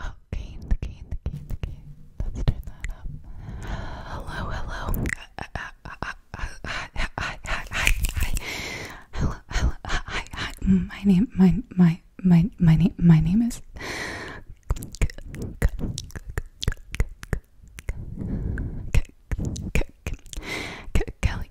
Oh, Kane, the Kane, the Kane, the Kane. Let's turn that up. Hello, hello. hi, hi, hi, hi, hi. Hello, hello, hi, hi. My name, my, my, my, my name, my name is. Kelly,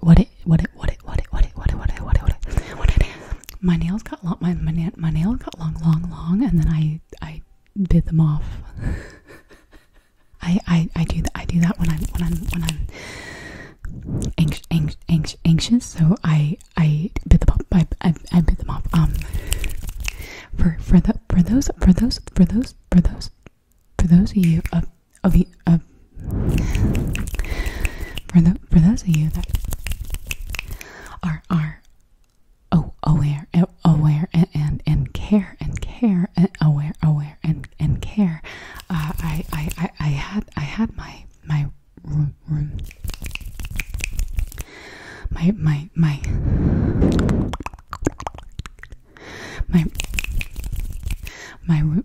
what it what it what it what it what it what it what it what it what it what it my nails got long my my, my nails got long long long and then I I bit them off. I I I do that I do that when I'm when I'm when I'm anxious anx, anxious so I I bit them off I, I I bit them off um for for the for those for those for those for those for those of you uh, of you uh, for the for those of you that are are oh aware aware and and, care and care and aware aware and and care I, I I had I had my my room room my my my my my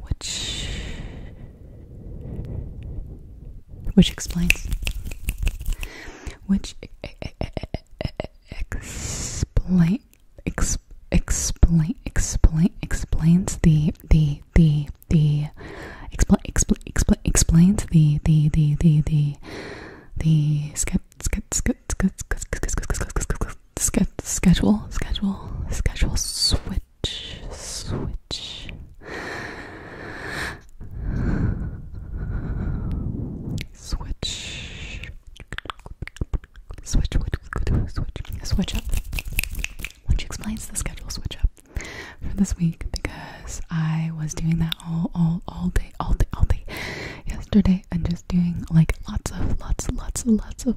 which which explains which explain exp, explain explain explains the the the the explain explain explain explains the the the the the the skep skep skep skep skep skep skep skep skep skep sch schedule, schedule, schedule, switch, switch. Switch. Switch, switch, switch, switch up. Which explains the schedule switch up for this week because I was doing that all, all, all day, all day, all day yesterday and just doing like lots of, lots, lots, lots of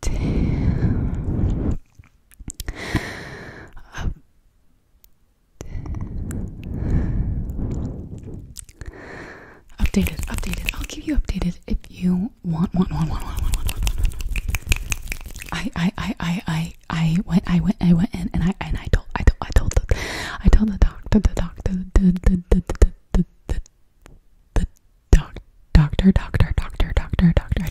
down, up, down. Updated, updated. I'll keep you updated if you want. Want, want, want, want, want, want, want, want. I, I, I, I, I, I went, I went, I went in, and I, and I told, I told, I told the, I told the doctor, the doctor, the, the, the, the, the, the, the, the, Doc doctor, doctor, doctor, doctor, doctor.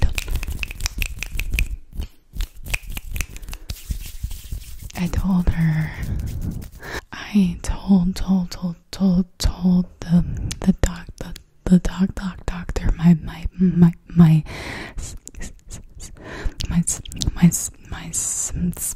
I don't. I told her. I told, told, told, told, told the the doc the the doc doc doctor my my my my my my my my my symptoms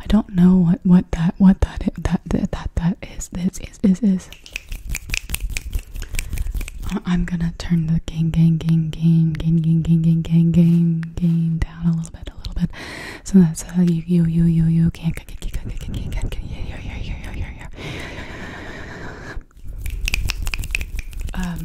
I don't know what what that what that is, that that that, that is this is is is. I'm gonna turn the gain gain gain gain gain gain gain gain gain gain gain down a little bit a little bit so that's how you you you you you can't can't can't can't can't can't can't um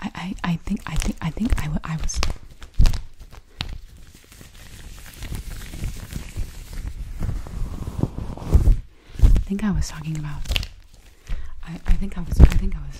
I I I think I think I think I, I was I think I was talking about I I think I was I think I was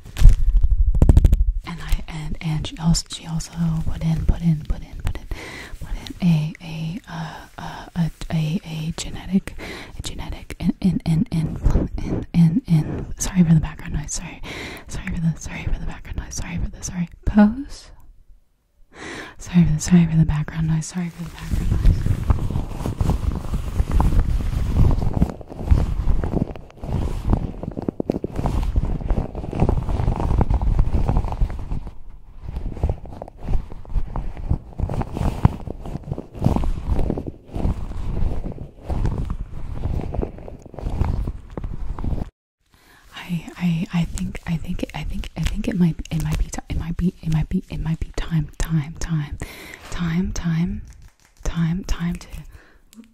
And I and and she also she also put in put in put in put in put in a a uh, uh, a, a a genetic a genetic and and and in in in sorry for the background noise sorry sorry for the sorry for the background noise sorry for the sorry pose sorry for the sorry for the background noise sorry for the background noise I I I think I think it, I think I think it might it might be it might be it might be it might be time time time time time time time to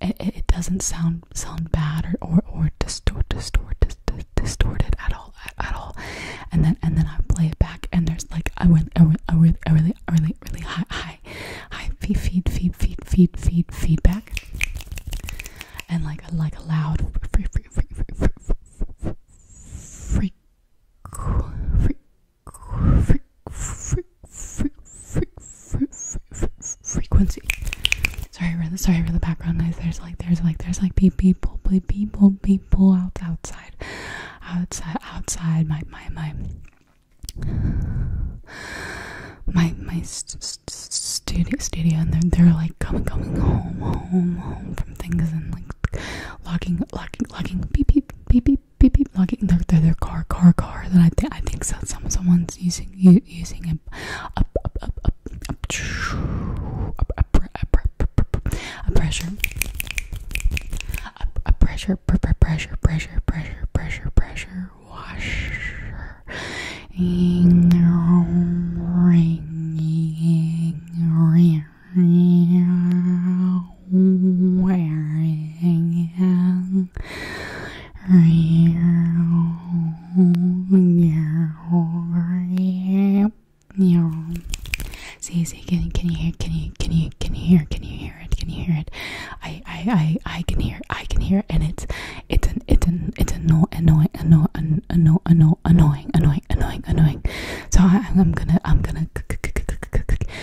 it, it doesn't sound sound bad or or, or distort distort dis, dis, distorted at all at, at all and then and then I play it back and there's like I went a, a, really, a really a really really high high high feed feed feed feed feed feed feedback and like a like a loud free free free free free free free free free frequency. Sorry for the sorry for the background noise. There's like there's like there's like people people people out outside outside outside my my my my my st st studio studio and they're they're like coming coming home home home from things and like locking locking locking beep beep beep beep beep beep beep knocking their their, their car car car that I think I think so, some someone's using u using it up up up up up up up a pressure up a pressure pressure pressure pressure pressure pressure washer ring ring ring wearing and you see see can can you hear can you can you can you hear can you hear it can you hear it I I I I can hear I can hear it and it's it's an it's an it's annoying annoying annoying annoying annoying annoying annoying annoying so I, I'm gonna I'm gonna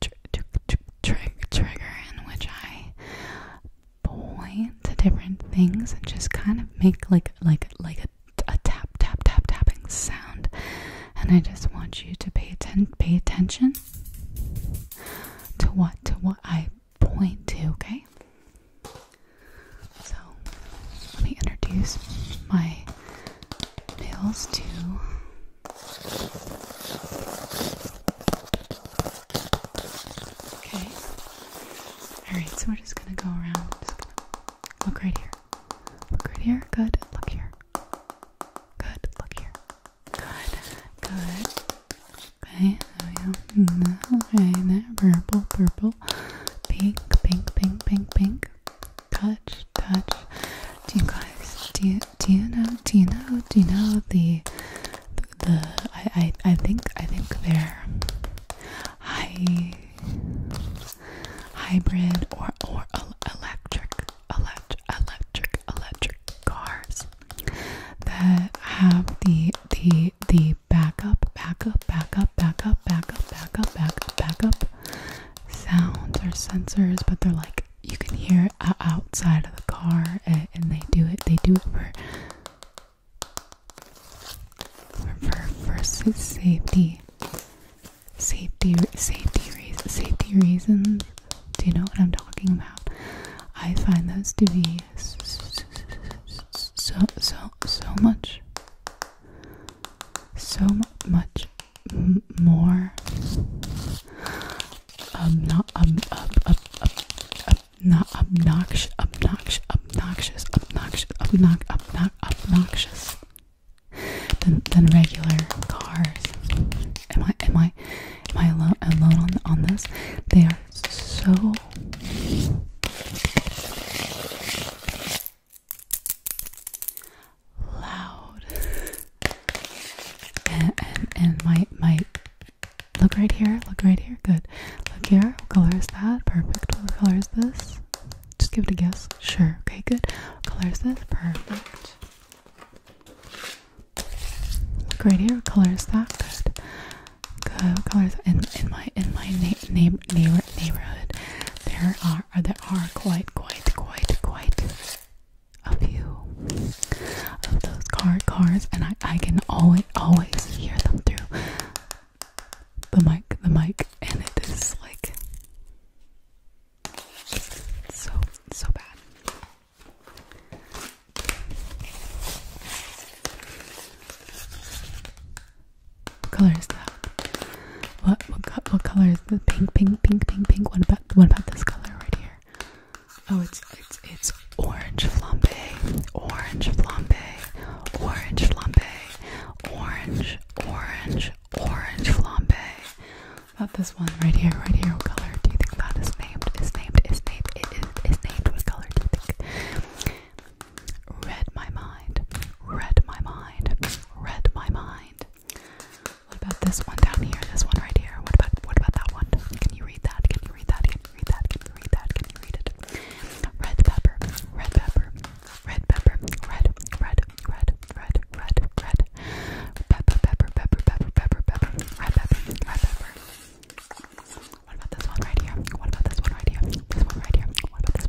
tr trigger in which I point to different things and just kind of make like like like a, a tap tap tap tapping sound. And I just want you to pay atten pay attention to what to what I point to. Okay. So let me introduce my nails to Okay. Alright, so we're just gonna go around. Just gonna look right here. Look right here. Good. Look here. Good. Look here. Good. Good. Okay, there we go. Right mm-hmm. there. Purple, purple. Pink, pink, pink, pink, pink touch, touch. Do you guys do you do you know do you know do you know the the I I, I think I think they're high hybrid or or electric electric electric electric cars that have the the the backup backup backup backup backup backup backup backup sounds or sensors, but they're like you can hear outside of the car, and, they do it. They do it for for for safety, safety, safety reasons. Safety reasons. Do you know what I'm talking about? I find those to be so so so much, so much more um not up up up up not obnoxious obnoxious obnoxious obnoxious obnox obnox obnoxious than than regular cars. Am I am I am I alone on this? They are so loud. and, and and my my look right here, look right here, good. Look here, what color is that? Perfect. What color is this? Just give it a guess. Sure, okay, good. What color is this? Perfect. Look right here, what color is that? Good. Good. What color is In in my in my name same neighborhood, there are there are quite quite quite quite a few of those car cars, and I I can always always hear them through the mic the mic, and it is like so so bad. What color is that? What what color is the pink pink pink pink pink? What about what about this color right here? Oh, it's it's it's orange flambe, orange flambe, orange flambe, orange orange orange flambe. About this one right here, right here. What color do you think that is named? Is named? Is named? It is, is named. What color do you think? read my mind, read my mind, read my mind. What about this one down here? This one right here. What about what about that one? Can you read that? Can you read that? Can you read that? Can you read that? Can you read it? Red pepper, red pepper, red pepper, red, red, red, red, red, red. Pepper, pepper, pepper, pepper, pepper, pepper, red pepper, red pepper. What about this one right here? What about this one right here? This one right here. What about this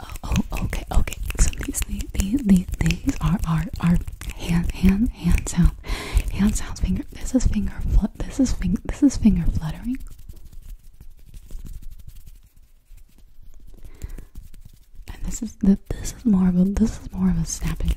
Uh, oh, okay, okay. So these, these, these, these are are are hand, hand, hand sound, hand sounds. Finger. This is finger. This is finger. This is finger fluttering. And this is This is more of a. This is more of a snapping.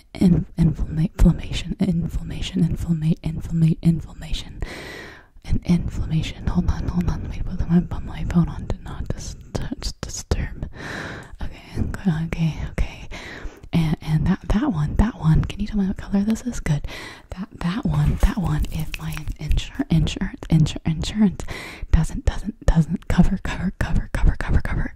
in, inflama inflammation, inflammation, inflammation, inflammation, inflammation, and inflammation. Hold on, hold on. Let me put my, my phone on to not dis dis disturb. Okay, okay, okay. And and that that one, that one. Can you tell me what color this is? Good. That that one, that one. If my insur insurance, insur insurance doesn't doesn't doesn't cover cover cover cover cover cover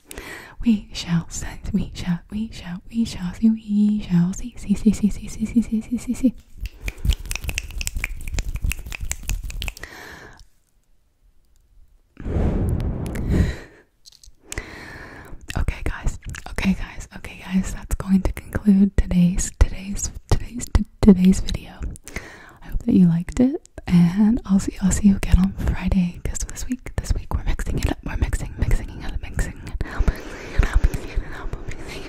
we shall sense, we shall, we shall, we shall see, we shall see, see, see, see, see, see, see, see, see, see, see. Okay guys, okay guys, okay guys, that's going to conclude today's today's today's today's video. I hope that you liked it and I'll see I'll see you again on Friday because this week this week we're mixing it up we're mixing mixing it up mixing it up mixing it up mixing it up mixing it up, mixing it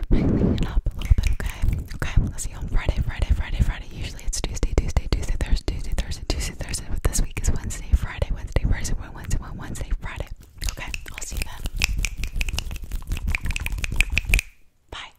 up a little bit okay okay I'll see you on Friday Friday Friday Friday usually it's Tuesday Tuesday Tuesday Thursday Tuesday Thursday Tuesday Thursday but this week is Wednesday Friday Wednesday Thursday Wednesday Wednesday Friday okay I'll see you then bye.